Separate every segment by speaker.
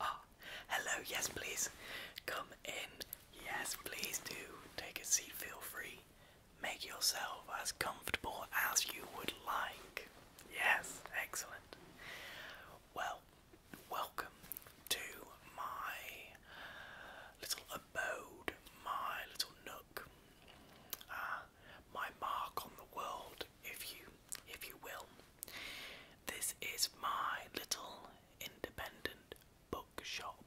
Speaker 1: Ah, hello, yes please. Come in. Yes, please do. Take a seat, feel free. Make yourself as comfortable as you would like. Yes, excellent. Well, welcome to my little abode, my little nook, ah, my mark on the world, if you, if you will. This is my little independent bookshop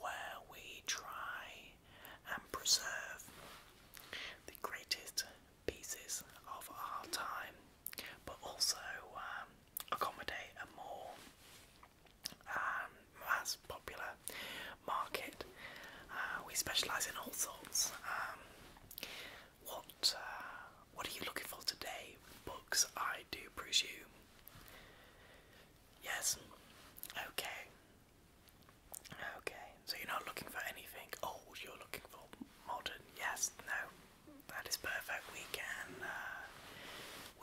Speaker 1: where we try and preserve the greatest pieces of our time, but also um, accommodate a more um, popular market. Uh, we specialise in all sorts. Um, what uh, What are you looking for today? Books, I do presume. Yes. Okay. Okay. So you're not looking for anything old. You're looking for modern. Yes. No. That is perfect. We can. Uh,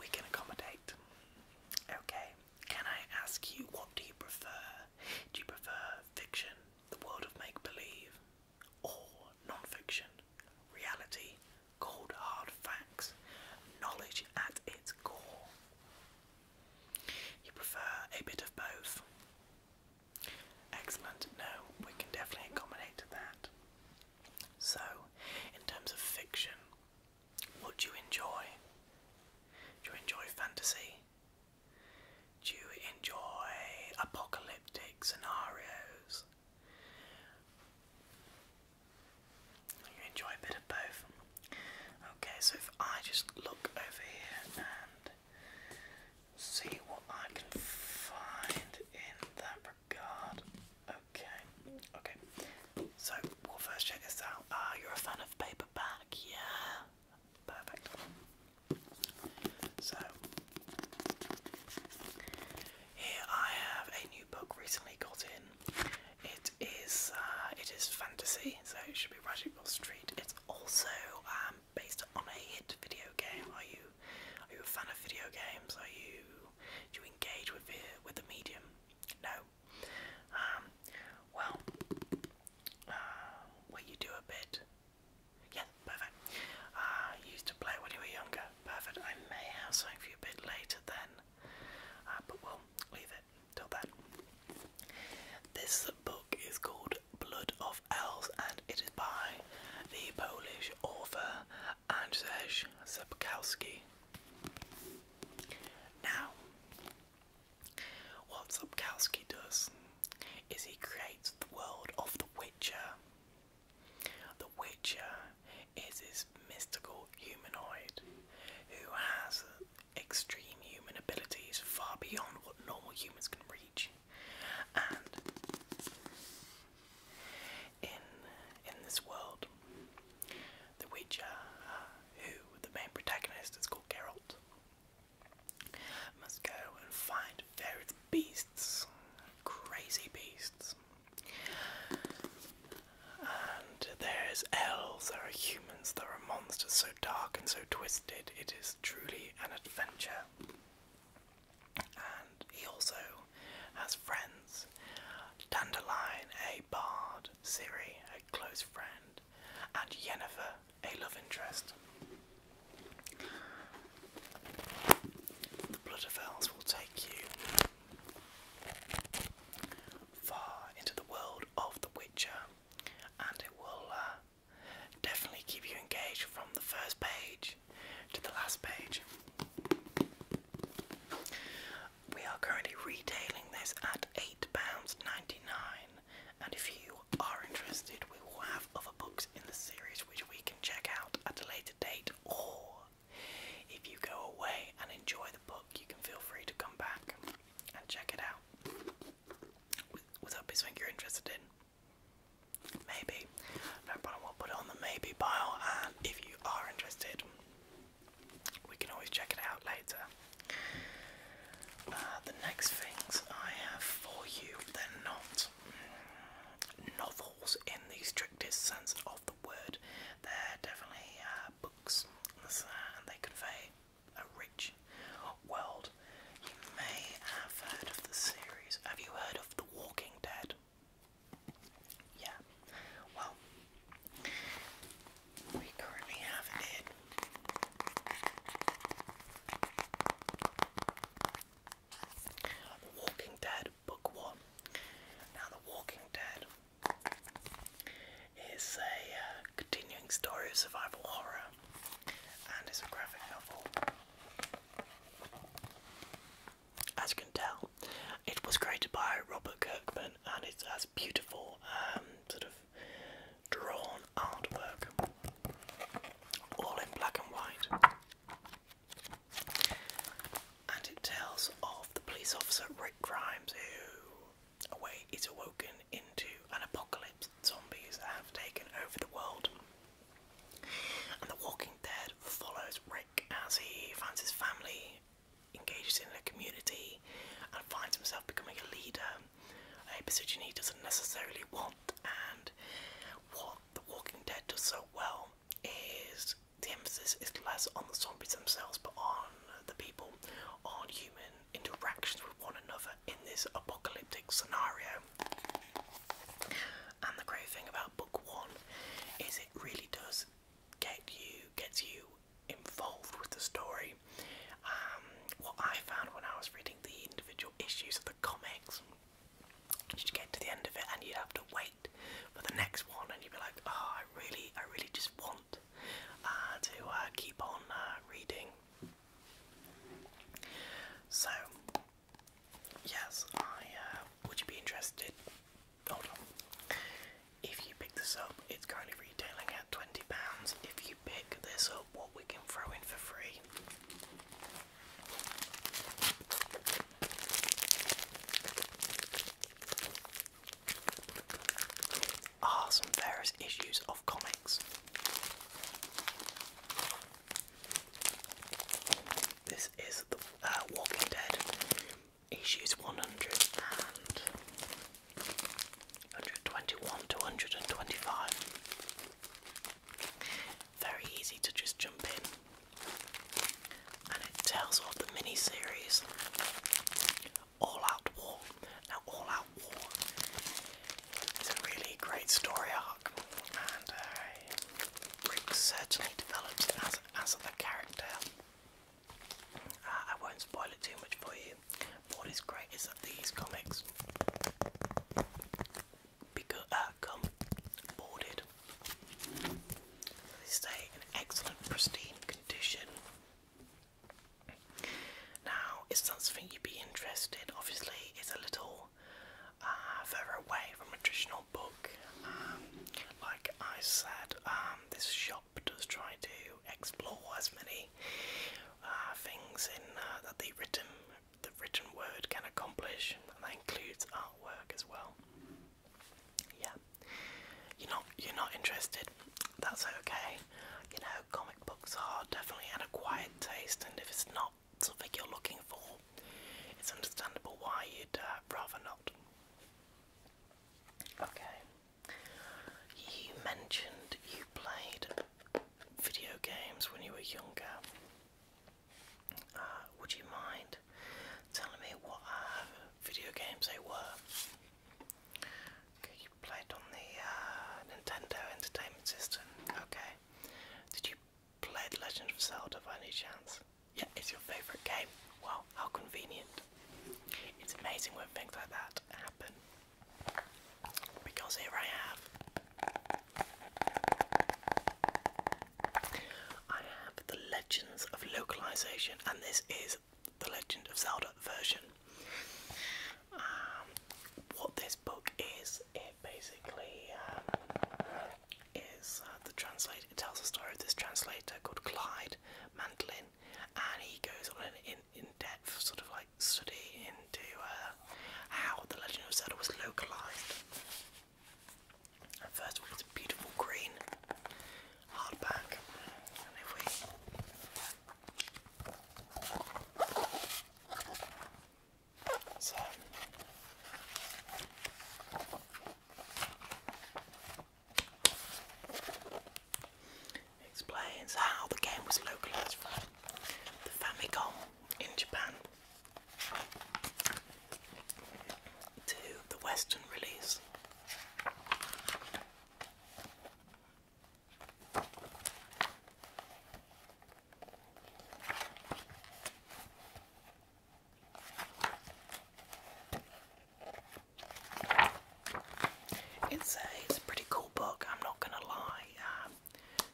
Speaker 1: we can accommodate. Okay, can I ask you what do you prefer? Do you prefer fiction, the world of make believe, or non fiction, reality, cold hard facts, knowledge at its core? You prefer a bit of both? Excellent, no, we can definitely accommodate that. So, in terms of fiction, what do you enjoy? Do you enjoy fantasy? Do you enjoy apocalyptic scenarios? You enjoy a bit of both. Okay, so if I just look over here and see what I can find in that Brigard. Okay, okay. So we'll first check this out. Ah, you're a fan of paperback, yeah. Perfect. So here I have a new book recently got in. It is uh, it is fantasy, so it should be Radical Street. It's also um, based on a hit video game. Are you are you a fan of video games? Are you do you engage with the, with the medium? No. Um, well, uh, will you do a bit? Yeah, perfect. Uh, used to play when you were younger. Perfect. I may have something for you a bit later then, uh, but we'll leave it till then. This book is called Blood of Elves and it is by the Polish author Andrzej Sapkowski. Now, what Sapkowski does is he creates the world of The Witcher. The Witcher is this mystical humanoid who has extreme human abilities far beyond what normal humans can reach. And in in this world, the Witcher, uh, who the main protagonist is called Geralt, must go and find various beasts, crazy beasts. And there's elves, there are humans, there are monsters so dark and so twisted, it is truly an adventure. And he also as friends. Dandelion, a bard, Siri, a close friend, and Yennefer, a love interest. The Blood of Elves will take you far into the world of The Witcher, and it will uh, definitely keep you engaged from the first page to the last page we are currently retailing this at £8.99 and if you are interested we will have other books in the series which we can check out at a later date or if you go away and enjoy the book you can feel free to come back and check it out. Was that something you're interested in? Maybe. No problem, we'll put it on the maybe pile and if you are interested we can always check it out later. Uh, the next things I have for you, they're not novels in the strictest sense of the word. They're definitely uh, books, and they convey a rich world. You may have heard of the series. Have you heard of The Walking Dead? Yeah. Well, we currently have it. The Walking Dead Book One. Now, The Walking Dead is a uh, continuing story of survival horror, and it's a graphic novel. As you can tell, it was created by Robert Kirkman and it has beautiful um, sort of drawn artwork, all in black and white. And it tells of the police officer Rick Grimes who away is awoken into an apocalypse. Zombies have taken over the world. And The Walking Dead follows Rick as he finds his family Engaged in a community and finds himself becoming a leader, a position he doesn't necessarily want. And what The Walking Dead does so well is the emphasis is less on the zombies themselves but on the people, on human interactions with one another in this apocalyptic scenario. And the great thing about book one is it really does get you gets you involved with the story. Um, what I found when I was reading the individual issues of the comics, you'd get to the end of it and you'd have to wait for the next one, and you'd be like, ah, I really, I really just want uh, to uh, keep on uh, reading." So, yes, I would you be interested if you pick this up, it's currently retailing at twenty pounds. If you pick this up, what we can throw in for free. Are ah, some various issues of comics. This is the uh, Walking Dead issues 100 and 121 to 125. Very easy to just jump in, and it tells of the mini series All Out War. Now, All Out War is a really great story arc, and uh, Rick certainly develops as, as a character uh, I won't spoil it too much for you. what is great is that these comics because, uh, come boarded. They stay in excellent, pristine condition. Now, is that something you'd be interested? Obviously, it's a little uh, further away from traditional book. Um, like I said, um, this shop Doctors try to explore as many uh, things in uh, that the written the written word can accomplish, and that includes artwork as well. Yeah, you're not you're not interested. That's okay. You know, comic books are definitely an acquired taste, and if it's not something you're looking for, it's understandable why you'd uh, rather not. Okay. You mentioned you played video games when you were younger. Uh, would you mind telling me what uh, video games they were? Okay, you played on the uh, Nintendo Entertainment System. Okay. Did you play The Legend of Zelda by any chance? Yeah, it's your favourite game. Wow, how convenient. It's amazing when things like that happen. Because here I have. I have the Legends of Localization, and this is the Legend of Zelda version. Um, what this book is, it basically um, is uh, the translator. It tells the story of this translator called Clyde Mantlin, and he goes on an in, depth sort of like study into uh, how the Legend of Zelda was localized. first of all, it's a beautiful green hardback, so. Explains how the game was localized from the Famicom in Japan to the Western release. It's a, pretty cool book, I'm not gonna lie. Um,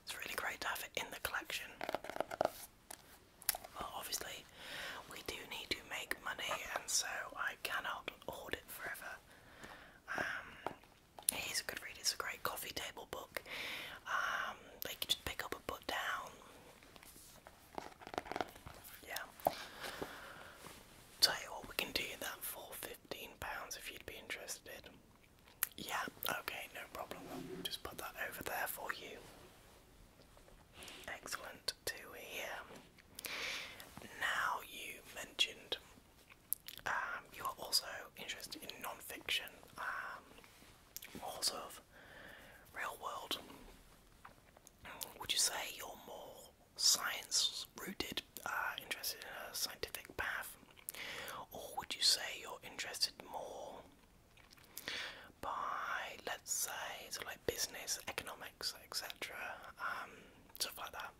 Speaker 1: it's really great to have it in the collection. Well, obviously, we do need to make money, and so I cannot hoard it forever. it um, is a good read, it's a great coffee table book. Um, just pick up and put down. Yeah. Tell you what, we can do that for fifteen pounds if you'd be interested. Yeah, okay, no problem. We'll just put that over there for you. Excellent to hear. Now you mentioned um, you are also interested in non-fiction, um, more sort of real world. Would you say you're more science rooted, uh, interested in a scientific path? Or would you say you're interested more by, let's say, sort of like business, economics, etc., um, stuff like that?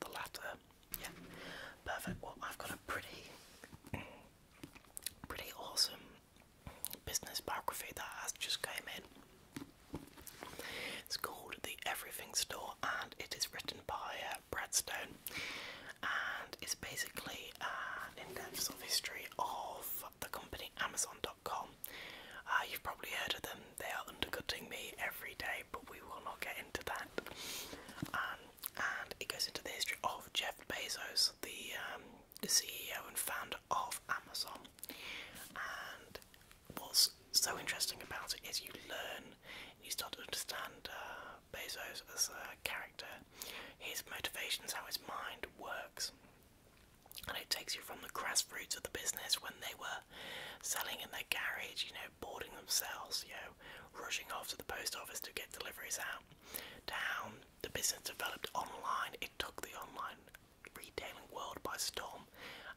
Speaker 1: The latter, yeah, perfect. Well, I've got a pretty, pretty awesome business biography that has just came in. It's called The Everything Store and it is written by uh, Brad Stone and it's basically uh, an in-depth sort of history of the company Amazon.com. Uh, you've probably heard of them, they are undercutting me every day but we will not get into that. Um, and it goes into the history of Jeff Bezos, the um, CEO and founder brand of Amazon. And what's so interesting about it is you learn, you start to understand uh, Bezos as a character, his motivations, how his mind works. And it takes you from the grassroots of the business when they were selling in their garage, you know, boarding themselves, you know, rushing off to the post office to get deliveries out, down the business developed online. It took the online retailing world by storm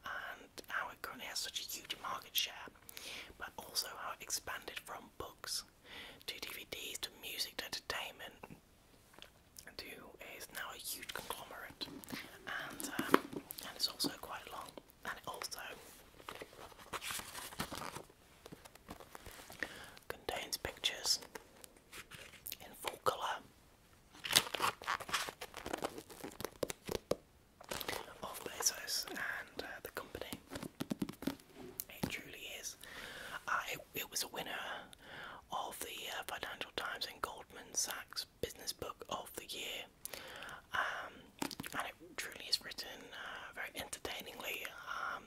Speaker 1: and how it currently has such a huge market share, but also how it expanded from books to DVDs to music to entertainment and is now a huge conglomerate um, and it's also quite long and it also contains pictures in full colour of Bezos and uh, the company. It truly is. Uh, it, was a winner of the uh, Financial Times and Goldman Sachs Business Book of the Year, um, and it truly is written uh, very entertainingly. Um,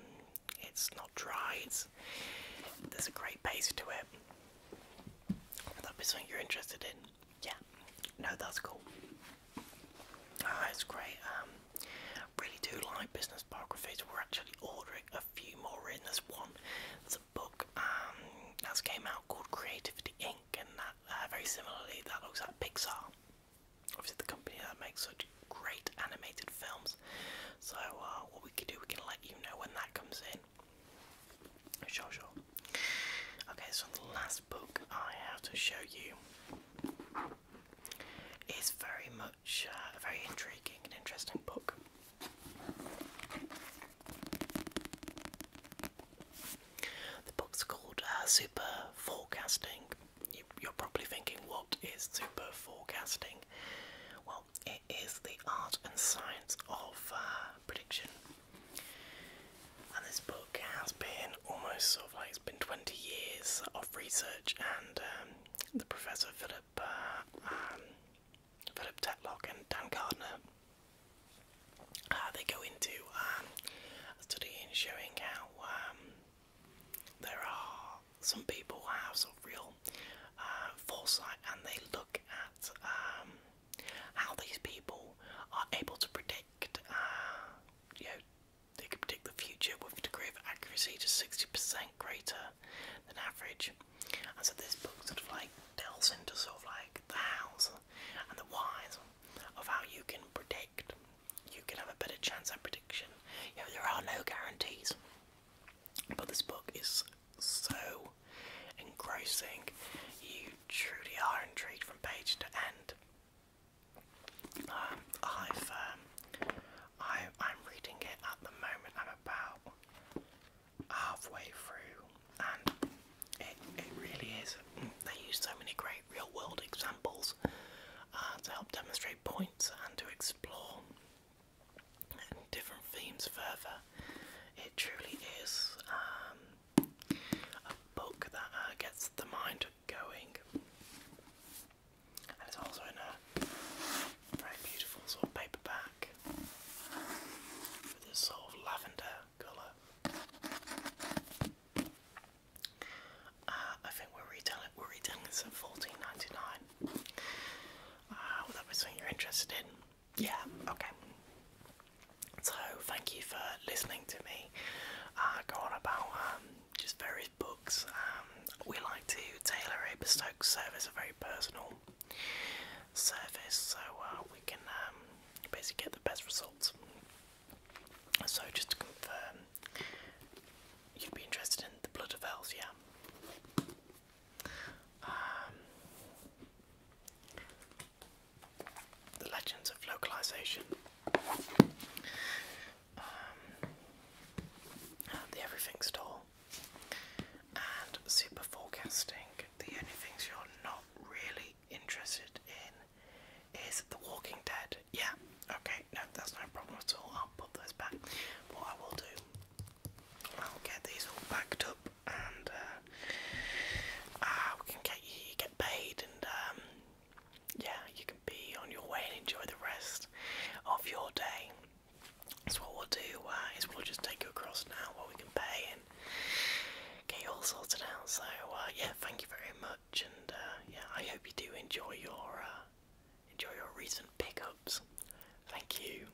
Speaker 1: it's not dry. It's, there's a great pace to it. That'd be something you're interested in. Yeah. No, that's cool. Oh, it's great. Um, really do like business biographies. We're actually ordering a few more in. There's one. There's a book um, that's came out called Creativity Inc. And that uh, very similarly, that looks at Pixar. Obviously, the company that makes such great animated films. So, uh, what we can do, we can let you know when that comes in. Sure, sure. Okay, so the last book I have to show you is very much uh, a very intriguing and interesting book. The book is called uh, Super Forecasting. You, you're probably thinking, what is super forecasting? Well, it is the art and science of uh, prediction. And this book has been almost sort of like it's been 20 years of research, and um, the professor Philip uh, um, Philip Tetlock and Dan Gardner uh, they go into um, a study studying, showing how there are some people who have sort of real foresight, and they look at how these people are able to predict, uh, you know, they can predict the future with a degree of accuracy just 60% greater than average. And so this book sort of like delves into sort of like the hows and the whys of how you can predict. You can have a better chance at prediction. You know, there are no guarantees. But this book is so engrossing. You truly are intrigued from page to end. Um, I've, um, I, am reading it at the moment. I'm about halfway through, and it, it really is. They use so many great real-world examples uh, to help demonstrate points and to explore different themes further. It truly is um, a book that uh, gets the mind going, and it's also in a very beautiful sort of paperback with this sort of lavender colour. Uh, I think we're retelling we're retelling this fourteen ninety nine. Uh, would that be you're interested yeah, okay. So, thank you for listening to me uh, go on about um, just various books. Um, we like to tailor a bespoke service, a very personal service, so uh, we can um, basically get the best results. So, just to confirm, you'd be interested in The Blood of Elves, yeah? Um, the Legends of Localization. Um, the Everything Store. And Super Forecasting. The only things you're not really interested in is The Walking Dead. Yeah, okay, no, that's no problem at all. I'll put those back. What I will do, I'll get these all backed up and uh, ah, we can get you get paid and um, yeah, you can be on your way and enjoy the rest of your day. So what we'll do uh, is we'll just take you across now where we can pay and get you all sorted out. So uh, yeah, thank you very much and yeah, I hope you do enjoy your enjoy your recent pickups. Thank you.